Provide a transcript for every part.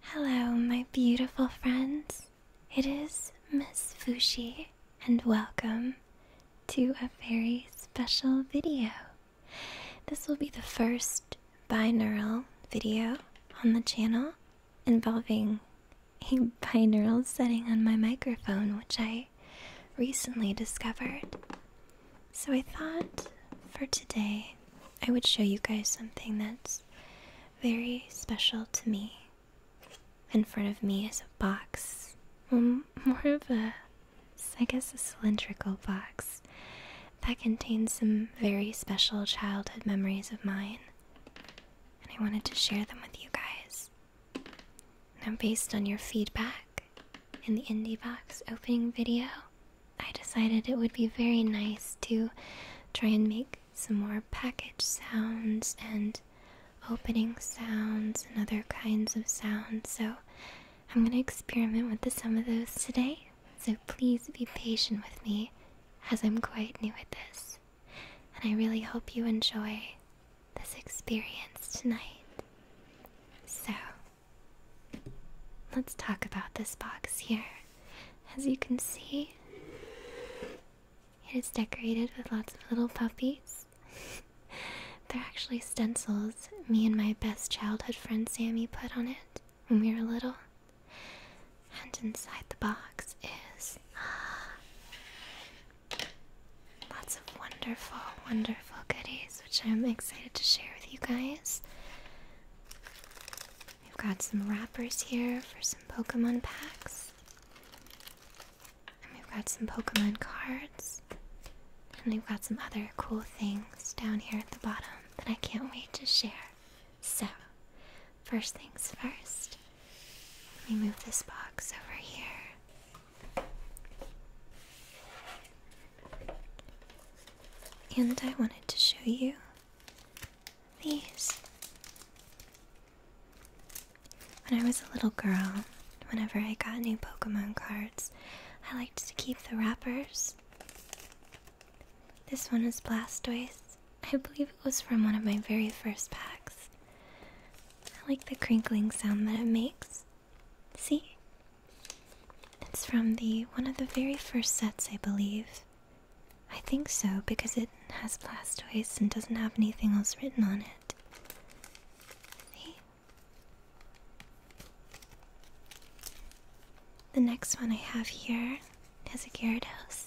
Hello, my beautiful friends. It is Miss Fushi, and welcome to a very special video. This will be the first binaural video on the channel involving a binaural setting on my microphone, which I recently discovered. So I thought for today I would show you guys something that's very special to me. In front of me is a box. Well, mm, more of a, I guess, a cylindrical box that contains some very special childhood memories of mine. And I wanted to share them with you guys. Now, based on your feedback in the indie box opening video, I decided it would be very nice to try and make some more package sounds and opening sounds and other kinds of sounds. So, I'm going to experiment with some of those today. So, please be patient with me as I'm quite new at this. And I really hope you enjoy this experience tonight. So, let's talk about this box here. As you can see, it is decorated with lots of little puppies. They're actually stencils me and my best childhood friend Sammy put on it when we were little. And inside the box is Lots of wonderful, wonderful goodies, which I'm excited to share with you guys. We've got some wrappers here for some Pokemon packs. And we've got some Pokemon cards. And we've got some other cool things down here at the bottom that I can't wait to share. So, first things first, let me move this box over here. And I wanted to show you these. When I was a little girl, whenever I got new Pokemon cards, I liked to keep the wrappers. This one is Blastoise. I believe it was from one of my very first packs. I like the crinkling sound that it makes. See? It's from the one of the very first sets, I believe. I think so, because it has Blastoise and doesn't have anything else written on it. See? The next one I have here is a Gyarados.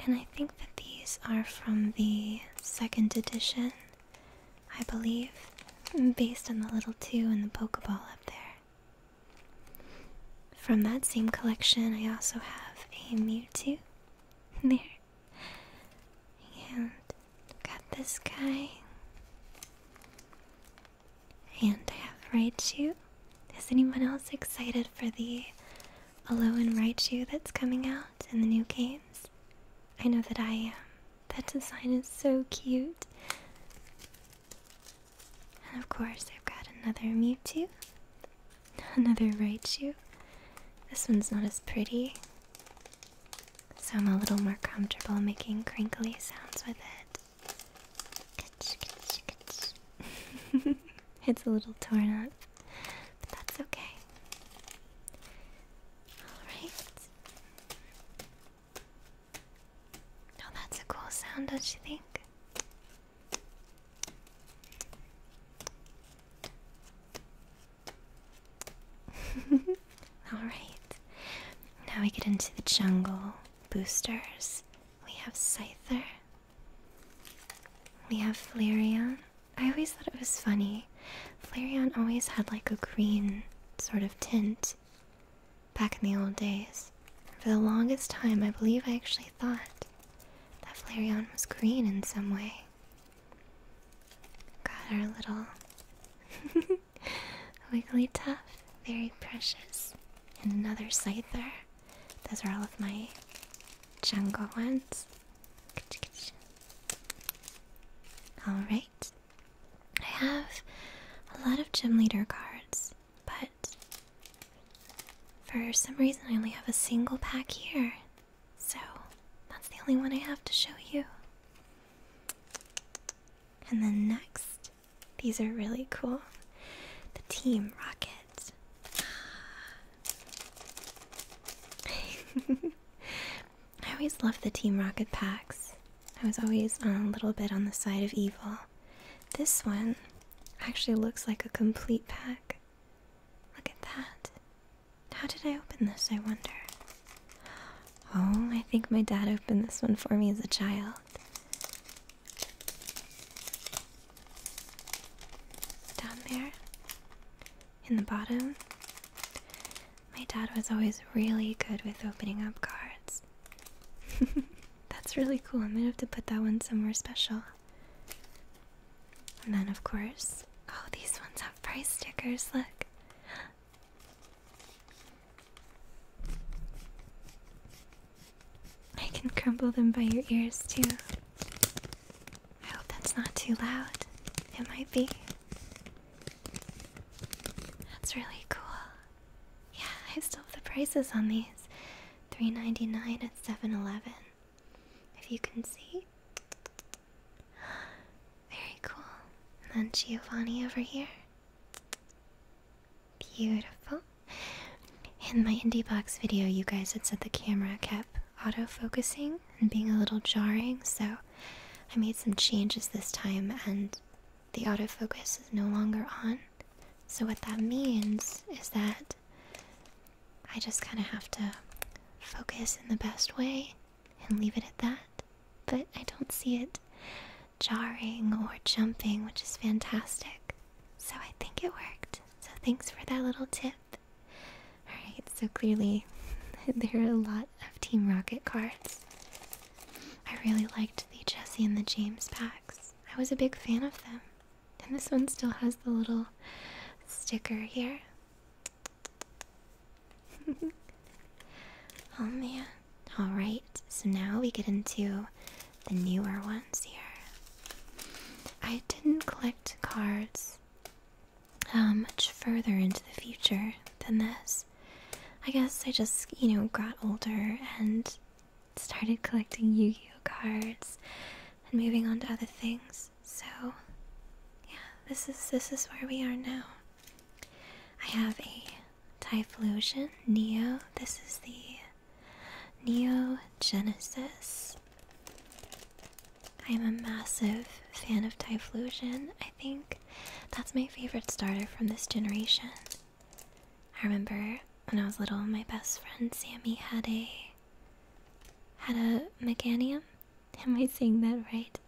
And I think that these are from the second edition. I believe, based on the little two and the Pokeball up there. From that same collection, I also have a Mewtwo. There. And got this guy. And I have Raichu. Is anyone else excited for the Alolan Raichu that's coming out in the new games? I know that I am. That design is so cute. And of course, I've got another Mewtwo. Another Raichu. This one's not as pretty, so I'm a little more comfortable making crinkly sounds with it. it's a little torn up, but that's okay. Alright. oh, that's a cool sound, don't you think? Alright. Now we get into the jungle boosters. We have Scyther. We have Flareon. I always thought it was funny. Flareon always had like a green sort of tint back in the old days. For the longest time, I believe I actually thought that Flareon was green in some way. Got our little wiggly Wigglytuff, very precious. And another Scyther. Those are all of my jungle ones. Alright. I have a lot of gym leader cards, but for some reason I only have a single pack here. So that's the only one I have to show you. And then next, these are really cool. The Team Rocket. I always loved the Team Rocket packs. I was always a little bit on the side of evil. This one actually looks like a complete pack. Look at that. How did I open this, I wonder? Oh, I think my dad opened this one for me as a child. Down there in the bottom. My dad was always really good with opening up cards. That's really cool. I'm gonna have to put that one somewhere special. And then, of course, oh, these ones have price stickers. Look. I can crumble them by your ears, too. I hope that's not too loud. It might be. That's really cool. Yeah, I still have the prices on these. Three ninety nine at Seven Eleven. If you can see. Very cool. And then Giovanni over here. Beautiful. In my indie box video, you guys had said the camera kept auto focusing and being a little jarring, so I made some changes this time and the autofocus is no longer on. So, what that means is that I just kind of have to focus in the best way and leave it at that. But I don't see it jarring or jumping, which is fantastic. So, I think it worked. So, thanks for that little tip. Alright, so clearly there are a lot of Team Rocket cards. I really liked the Jesse and the James packs. I was a big fan of them. And this one still has the little sticker here. oh man. Alright, so now we get into the newer ones here. I didn't collect cards uh, much further into the future than this. I guess I just, you know, got older and started collecting Yu Gi Oh cards and moving on to other things. So, yeah, this is this is where we are now. I have a Typhlosion Neo. This is the Neo Genesis. I'm a massive fan of Typhlosion. I think that's my favorite starter from this generation. I remember when I was little, my best friend Sammy had a had a Meganium. Am I saying that right?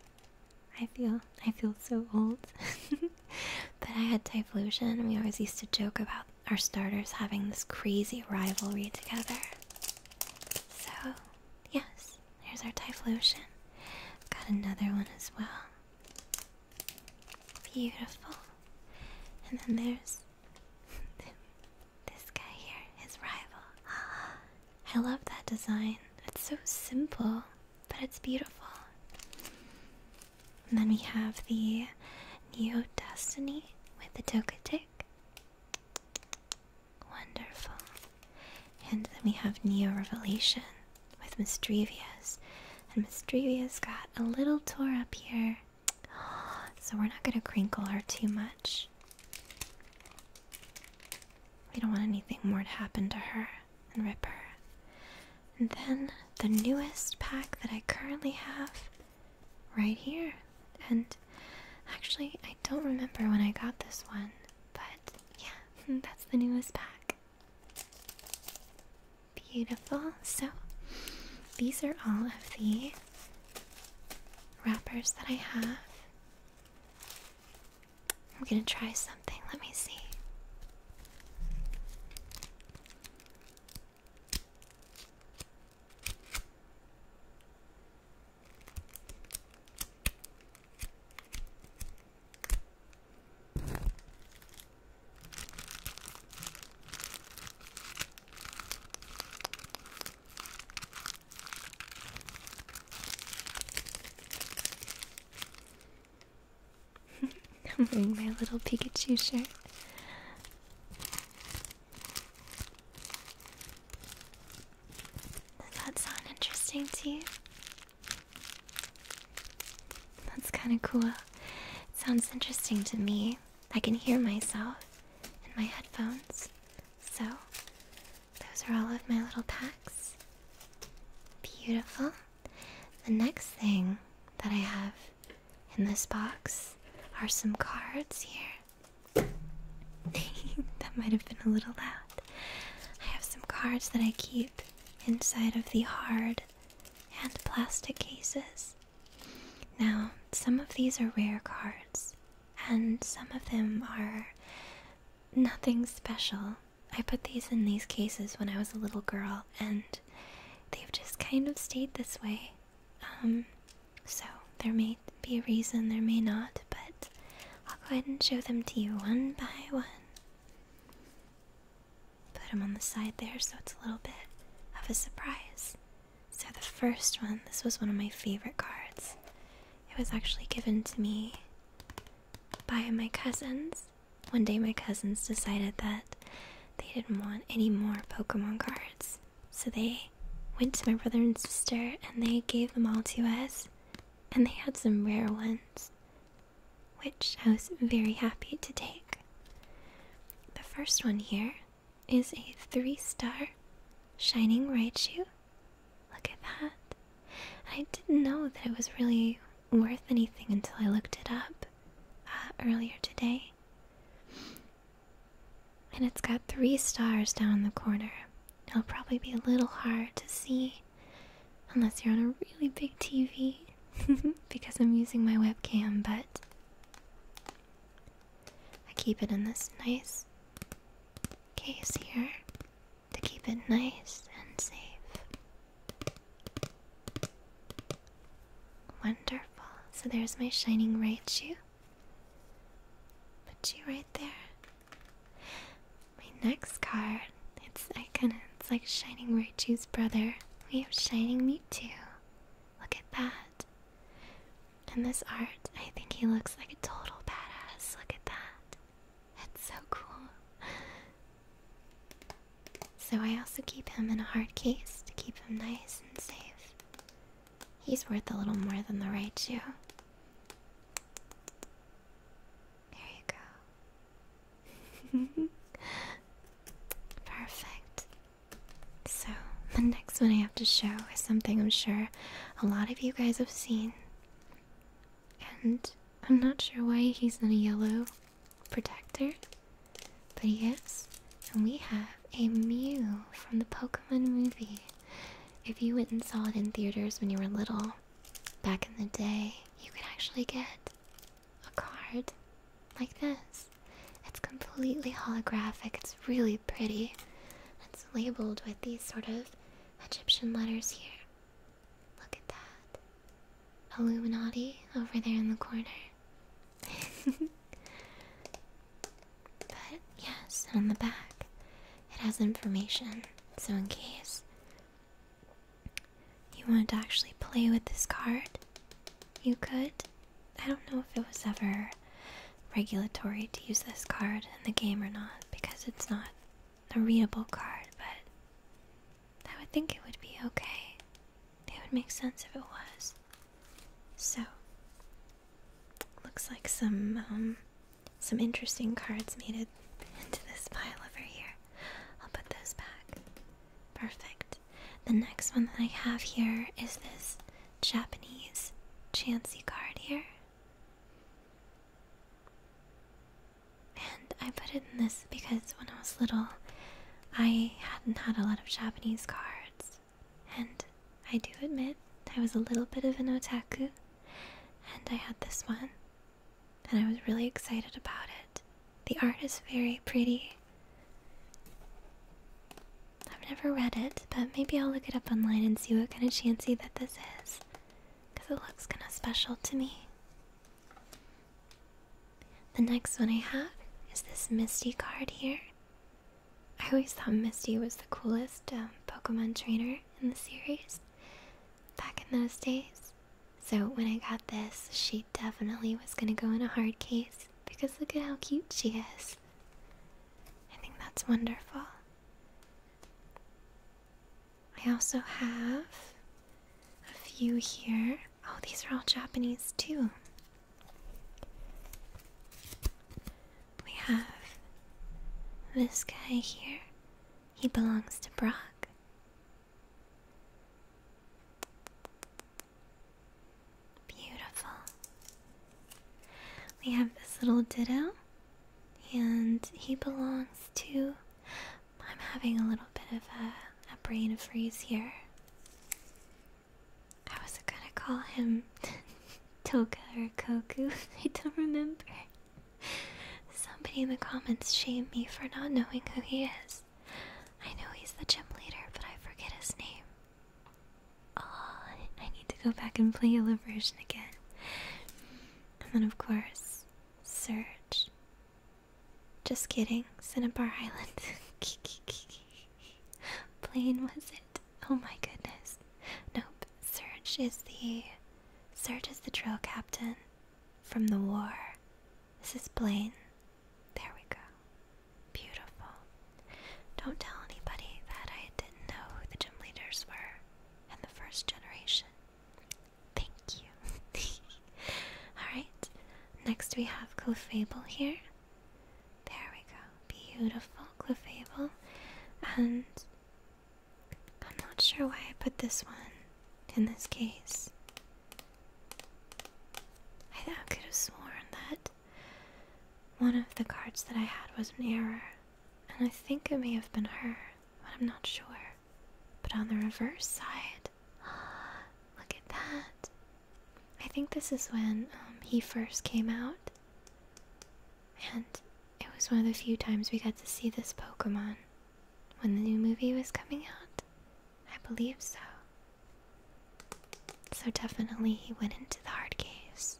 I feel I feel so old. but I had Typhlosion and we always used to joke about our starters having this crazy rivalry together. So, yes, Here's our Typhlosion. Got another one as well. Beautiful. And then there's this guy here, his rival. I love that design. It's so simple, but it's beautiful. And then we have the Neo Destiny with the Togetic. Wonderful. And then we have Neo Revelation with Mistrevious. And Mistrevious got a little tore up here. So we're not going to crinkle her too much. We don't want anything more to happen to her and rip her. And then the newest pack that I currently have right here. And actually, don't remember when I got this one, but yeah, that's the newest pack. Beautiful. So, these are all of the wrappers that I have. I'm gonna try something. Let me see. I'm wearing my little Pikachu shirt. Does that sound interesting to you? That's kind of cool. sounds interesting to me. I can hear myself in my headphones. So, those are all of my little packs. Beautiful. The next thing that I have in this box are some cards here. that might have been a little loud. I have some cards that I keep inside of the hard and plastic cases. Now, some of these are rare cards, and some of them are nothing special. I put these in these cases when I was a little girl, and they've just kind of stayed this way. Um, so they're made be a reason, there may not, but I'll go ahead and show them to you one by one. Put them on the side there so it's a little bit of a surprise. So, the first one, this was one of my favorite cards. It was actually given to me by my cousins. One day, my cousins decided that they didn't want any more Pokemon cards. So, they went to my brother and sister and they gave them all to us and they had some rare ones, which I was very happy to take. The first one here is a three star Shining Raichu. Look at that. I didn't know that it was really worth anything until I looked it up uh, earlier today. And it's got three stars down the corner. It'll probably be a little hard to see unless you're on a really big TV because I'm using my webcam, but I keep it in this nice case here to keep it nice and safe. Wonderful. So there's my shining right shoe. Put you right there. My next card. It's icon. It's like Shining Raichu's brother. We have Shining Me too. Look at that. And this art, I think he looks like a total badass. Look at that. That's so cool. So I also keep him in a hard case to keep him nice and safe. He's worth a little more than the Raichu. There you go. Perfect. So, the next one I have to show is something I'm sure a lot of you guys have seen. And I'm not sure why he's in a yellow protector, but he is. And we have a Mew from the Pokemon movie. If you went and saw it in theaters when you were little, back in the day, you could actually get a card like this. It's completely holographic, it's really pretty. It's labeled with these sort of Egyptian letters here. Look at that. Illuminati over there in the corner. But yes, on the back, it has information. So, in case you wanted to actually play with this card, you could. I don't know if it was ever regulatory to use this card in the game or not because it's not a readable card, but I would think it would be okay. It would make sense if it was. So, looks like some um, some interesting cards made it into this pile over here. I'll put those back. Perfect. The next one that I have here is this Japanese Chansey card here. And I put it in this because when I was little, I hadn't had a lot of Japanese cards. And I do admit, I was a little bit of an otaku. And I had this one, and I was really excited about it. The art is very pretty. I've never read it, but maybe I'll look it up online and see what kind of chancy that this is. Because it looks kind of special to me. The next one I have is this Misty card here. I always thought Misty was the coolest um, Pokemon trainer in the series back in those days. So when I got this, she definitely was gonna go in a hard case because look at how cute she is. I think that's wonderful. I also have a few here. Oh, these are all Japanese too. We have this guy here. He belongs to Brock. Beautiful. We have this little ditto, and he belongs to. I'm having a little bit of a, a brain freeze here. I was gonna call him Toka or Koku, I don't remember. Somebody in the comments shame me for not knowing who he is. I know he's the gym leader, but I forget his name. Oh, I need to go back and play Yellow version again. And then, of course, search. Just kidding, Cinnabar Island. Plane was Oh my goodness. Nope. Serge is the Serge is the drill captain from the war. This is Blaine. There we go. Beautiful. Don't tell anybody that I didn't know who the gym leaders were in the first generation. Thank you. Alright. Next we have Clefable here. There we go. Beautiful Clefable. And I'm not sure why I put this one in this case. I, I could have sworn that one of the cards that I had was an error, and I think it may have been her, but I'm not sure. But on the reverse side, look at that. I think this is when um, he first came out, and it was one of the few times we got to see this Pokemon when the new movie was coming out. I believe so. So definitely he went into the hard caves.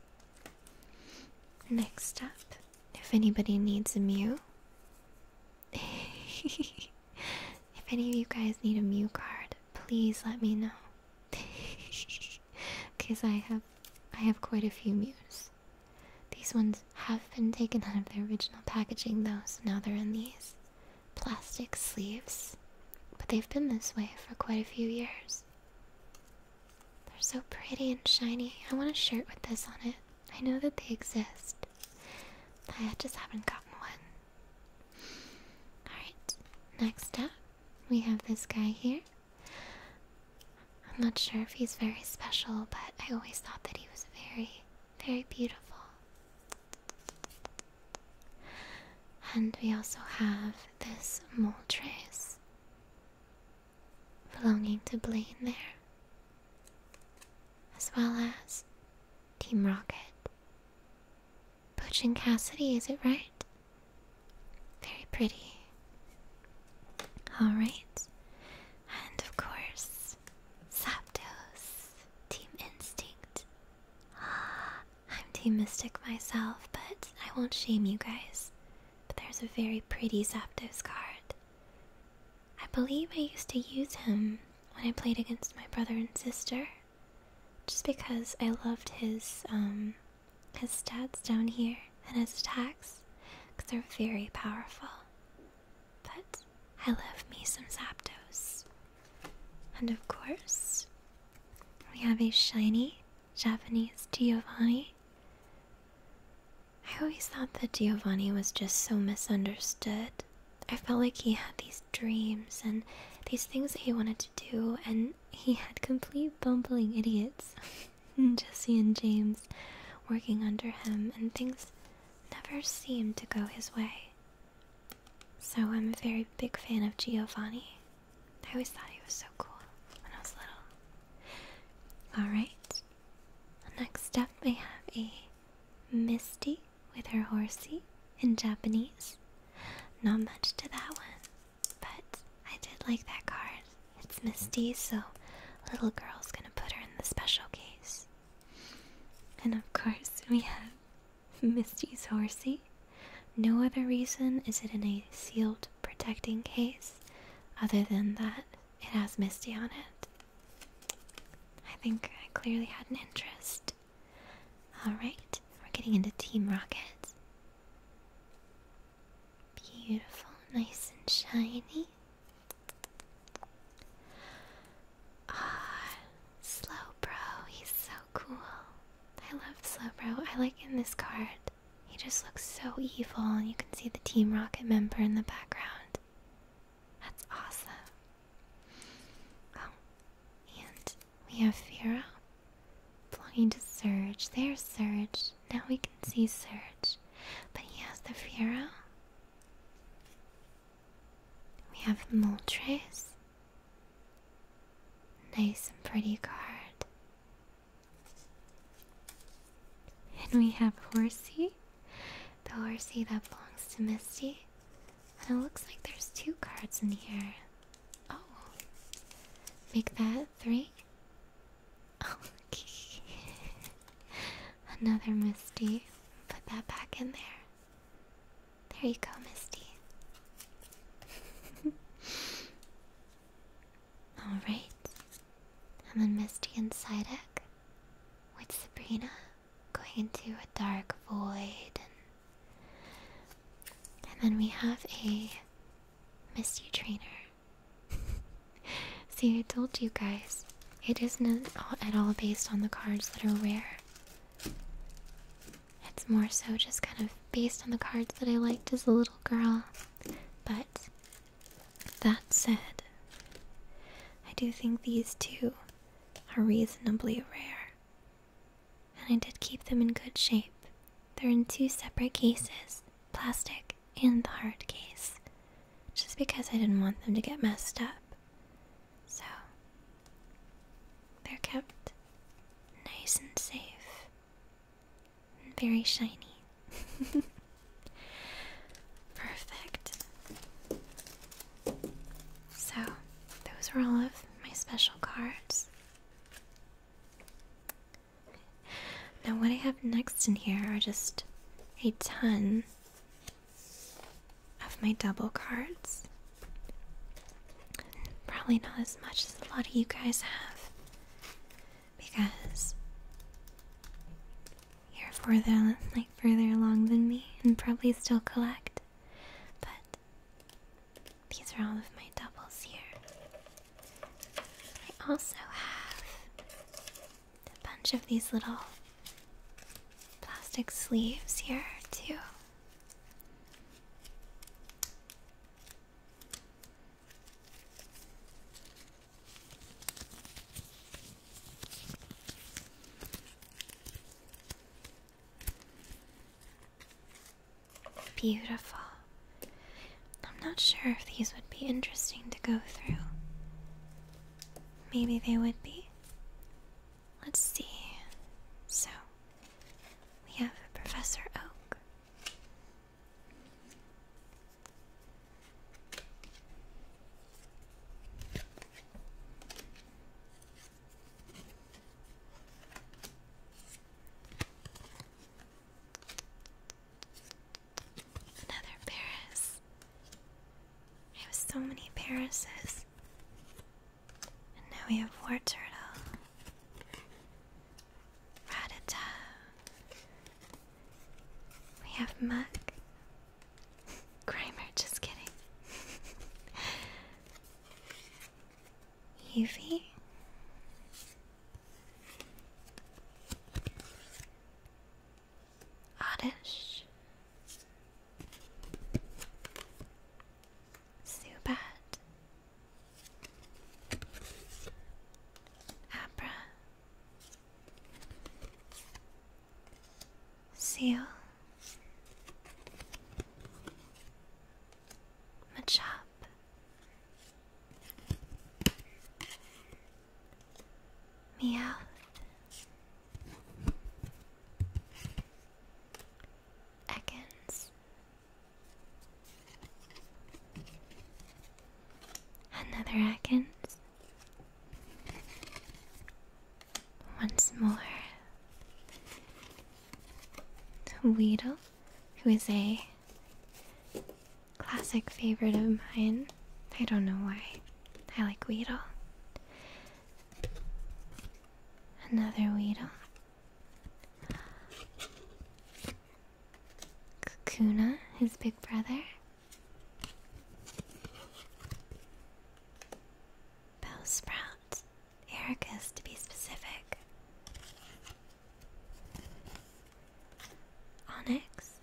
Next up, if anybody needs a Mew. if any of you guys need a Mew card, please let me know. Because I have I have quite a few Mews. These ones have been taken out of their original packaging though, so now they're in these plastic sleeves. But they've been this way for quite a few years. They're so pretty and shiny. I want a shirt with this on it. I know that they exist. I just haven't gotten one. Alright, next up we have this guy here. I'm not sure if he's very special, but I always thought that he was very, very beautiful. And we also have this mole trace belonging to Blaine there, as well as Team Rocket. Butch and Cassidy, is it right? Very pretty. Alright. And of course, Zapdos, Team Instinct. I'm Team Mystic myself, but I won't shame you guys. But there's a very pretty Zapdos card. I believe I used to use him when I played against my brother and sister, just because I loved his um, his stats down here and his attacks, because they're very powerful. But I love me some Zapdos. And of course, we have a shiny Japanese Giovanni. I always thought that Giovanni was just so misunderstood. I felt like he had these dreams and these things that he wanted to do, and he had complete bumbling idiots. Hmm. Jesse and James working under him, and things never seem to go his way. So I'm a very big fan of Giovanni. I always thought he was so cool when I was little. Alright, next up I have a Misty with her horsey in Japanese. Not much to that one. But I did like that card. It's Misty, so little girl's gonna put her in the special case. And of course, we have Misty's horsey. No other reason is it in a sealed protecting case other than that it has Misty on it. I think I clearly had an interest. Alright, we're getting into Team Rocket. Beautiful, nice and shiny. Ah, Slowbro, he's so cool. I love Slowbro. I like in this card. He just looks so evil, and you can see the Team Rocket member in the background. That's awesome. Oh, and we have Fira belonging to Surge. There's Surge. Now we can see Surge. But he has the Pharaoh. We have Moltres. Nice and pretty card. And we have Horsey. The Horsey that belongs to Misty. And it looks like there's two cards in here. Oh. Make that three. Okay. Another Misty. Put that back in there. There you go, Misty. Alright. And then Misty and Psyduck with Sabrina going into a dark void. And, and then we have a Misty trainer See, I told you guys, it isn't at all based on the cards that are rare. It's more so just kind of based on the cards that I liked as a little girl. But that said, I do think these two are reasonably rare. And I did keep them in good shape they're in two separate cases plastic and the hard case. Just because I didn't want them to get messed up. So, they're kept nice and safe. And very shiny. Perfect. So, those were all of my special cards. Now, what I have next in here are just a ton of my double cards. Probably not as much as a lot of you guys have because you're further, like, further along than me and probably still collect. But these are all of my doubles here. I also have a bunch of these little plastic sleeves here, too. Beautiful. I'm not sure if these would be interesting to go through. Maybe they would be. Let's see. So, we have Professor Oak. Another Paris. I have so many Parises. And now we have War Turtle. Ratata. We have Muck. Grimer, just kidding. Eevee. Oddish, Subat, Abra, Seal, Machop. Meow. Ekans. Another Ekans. Once more. Weedle who is a classic favorite of mine. I don't know why. I like Weedle. Another Weedle. Kakuna, his big brother. Bell Bellsprout. Erica's to be specific. Onyx.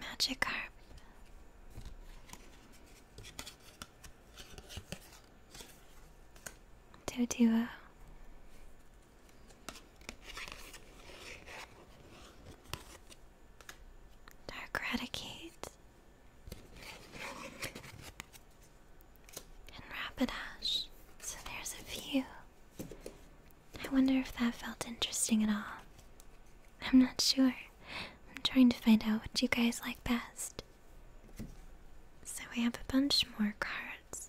Magikarp. Doduo. Dark Raticate. And Rapidash. So there's a few. I wonder if that felt interesting at all. I'm not sure. I'm trying to find out what you guys like best. So we have a bunch more cards.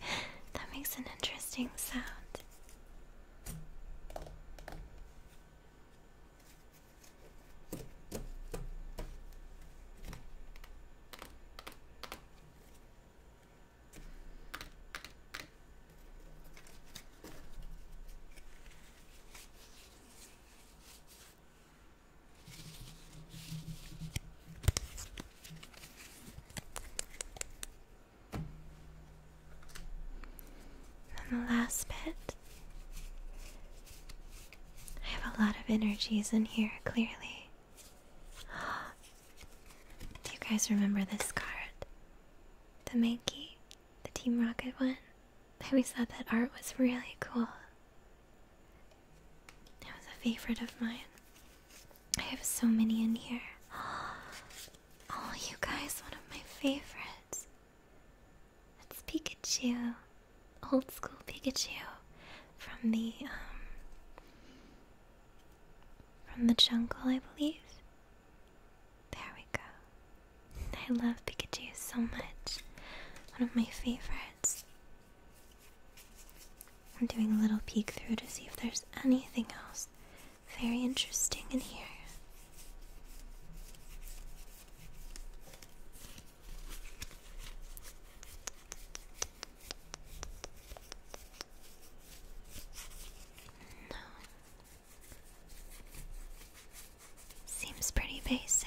that makes an interesting sound. And the last bit. I have a lot of energies in here, clearly. Do you guys remember this card? The Mankey? The Team Rocket one? I always thought that art was really cool. That was a favorite of mine. I have so many in here. Oh, you guys, one of my favorites. It's Pikachu. Old school Pikachu from the um from the jungle, I believe. There we go. I love Pikachu so much. One of my favorites. I'm doing a little peek through to see if there's anything else very interesting in here. No. Seems pretty basic.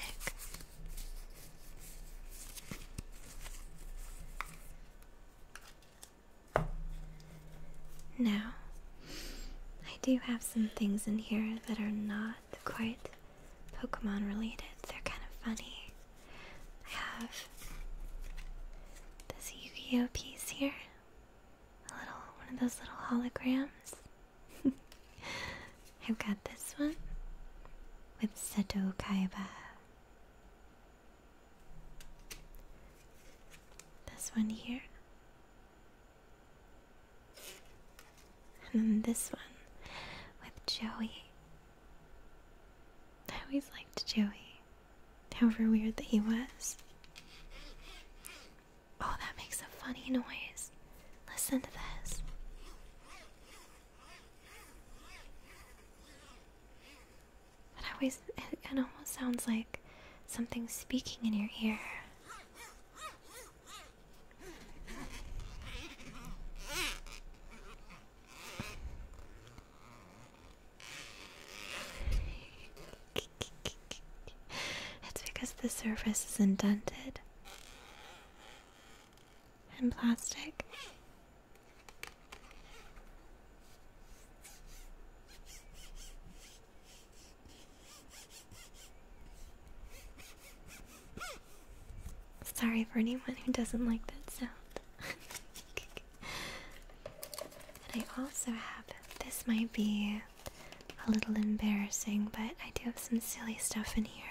Now, I do have some things in here that are not quite Pokemon related. They're kind of funny. I have this Yu Gi Oh piece here. A little, one of those little holograms. I've got this one with Seto Kaiba this one here. And then this one with Joey. I always liked Joey, however weird that he was. Oh, that makes a funny noise. Listen to this. It always it, almost sounds like something speaking in your ear. It's because the surface is indented and plastic Sorry for anyone who doesn't like that sound. and I also have this, might be a little embarrassing, but I do have some silly stuff in here.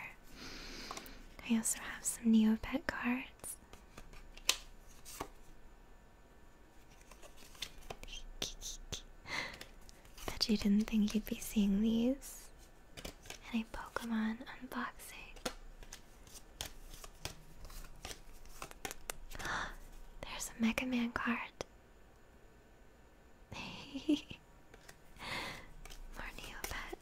I also have some Neopet cards. Bet you didn't think you'd be seeing these in a Pokemon unboxing. There's a Mega Man card. More Neopets.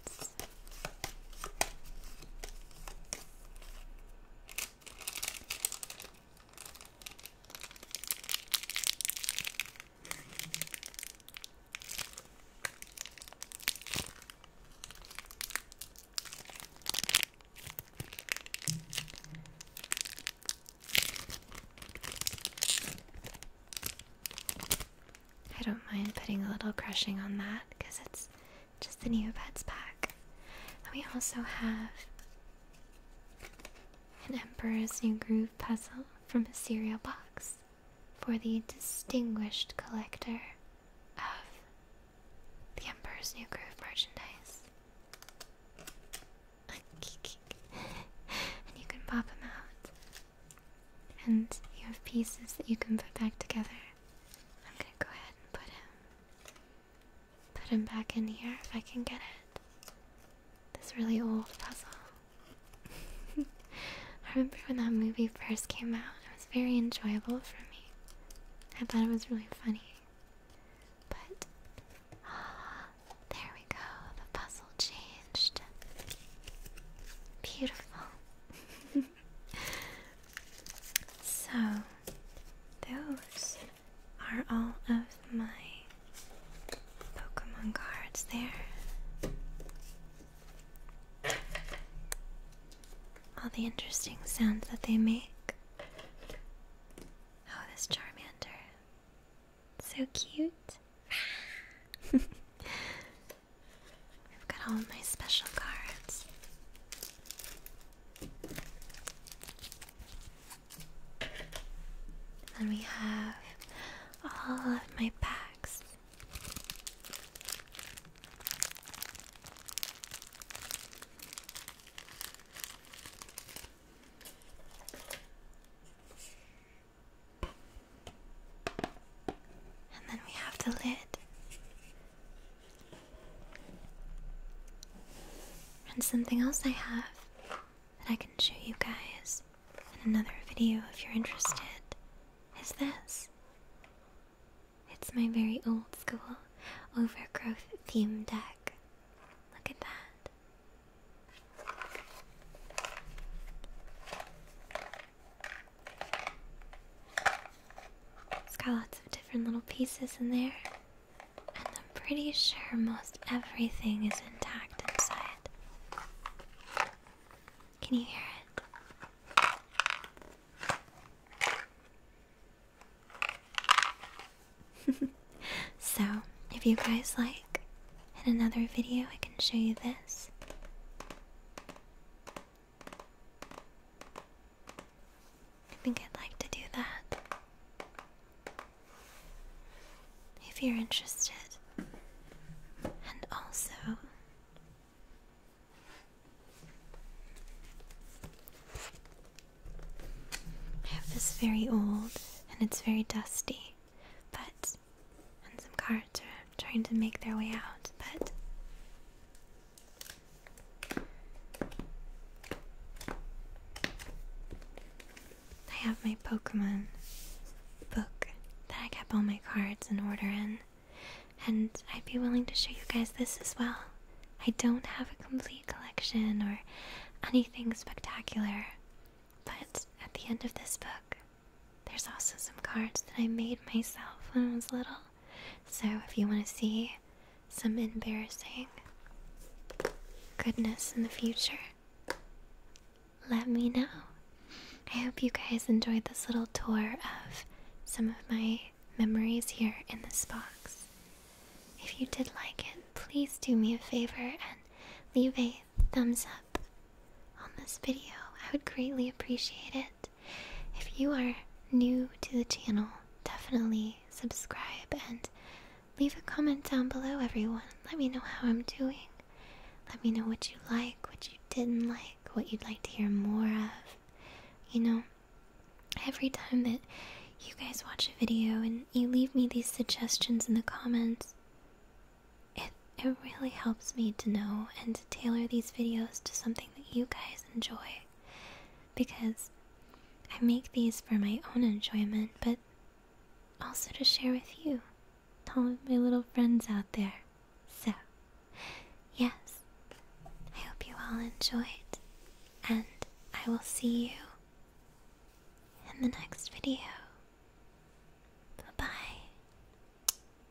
I don't mind putting a little crushing on that because it's just the Neopets pack. And we also have an Emperor's New Groove puzzle from a cereal box for the distinguished collector of the Emperor's New Groove merchandise. and you can pop them out. And you have pieces that you can put back together I'm gonna go ahead and put him put him back in here if I can get it. This really old puzzle. I remember when that movie first came out. It was very enjoyable for me. I thought it was really funny. But there we go. The puzzle changed. Beautiful. so, those are all of my Pokemon cards there. All the interesting sounds that they make. Oh, this Charmander. So cute. I've got all my special cards. And then we have all of my packs. And then we have the lid. And something else I have that I can show you guys in another video if you're interested is this. It's my very old school overgrowth theme deck. Look at that. It's got lots of different little pieces in there, and I'm pretty sure most everything is intact inside. Can you hear it? so, if you guys like, in another video I can show you this. I think I'd like to do that. If you're interested. And also, I have this very old and it's very dusty, but, and some cards are trying to make their way out, but I have my Pokemon book that I kept all my cards in order in, and I'd be willing to show you guys this as well. I don't have a complete collection or anything spectacular, but at the end of this book, there's also some cards that I made myself when I was little. So, if you want to see some embarrassing goodness in the future, let me know. I hope you guys enjoyed this little tour of some of my memories here in this box. If you did like it, please do me a favor and leave a thumbs up on this video. I would greatly appreciate it if you are new to the channel, definitely subscribe and leave a comment down below, everyone. Let me know how I'm doing. Let me know what you like, what you didn't like, what you'd like to hear more of. You know, every time that you guys watch a video and you leave me these suggestions in the comments, it it really helps me to know and to tailor these videos to something you guys enjoy because I make these for my own enjoyment, but also to share with you, all of my little friends out there. So, yes, I hope you all enjoyed, and I will see you in the next video. Bye bye.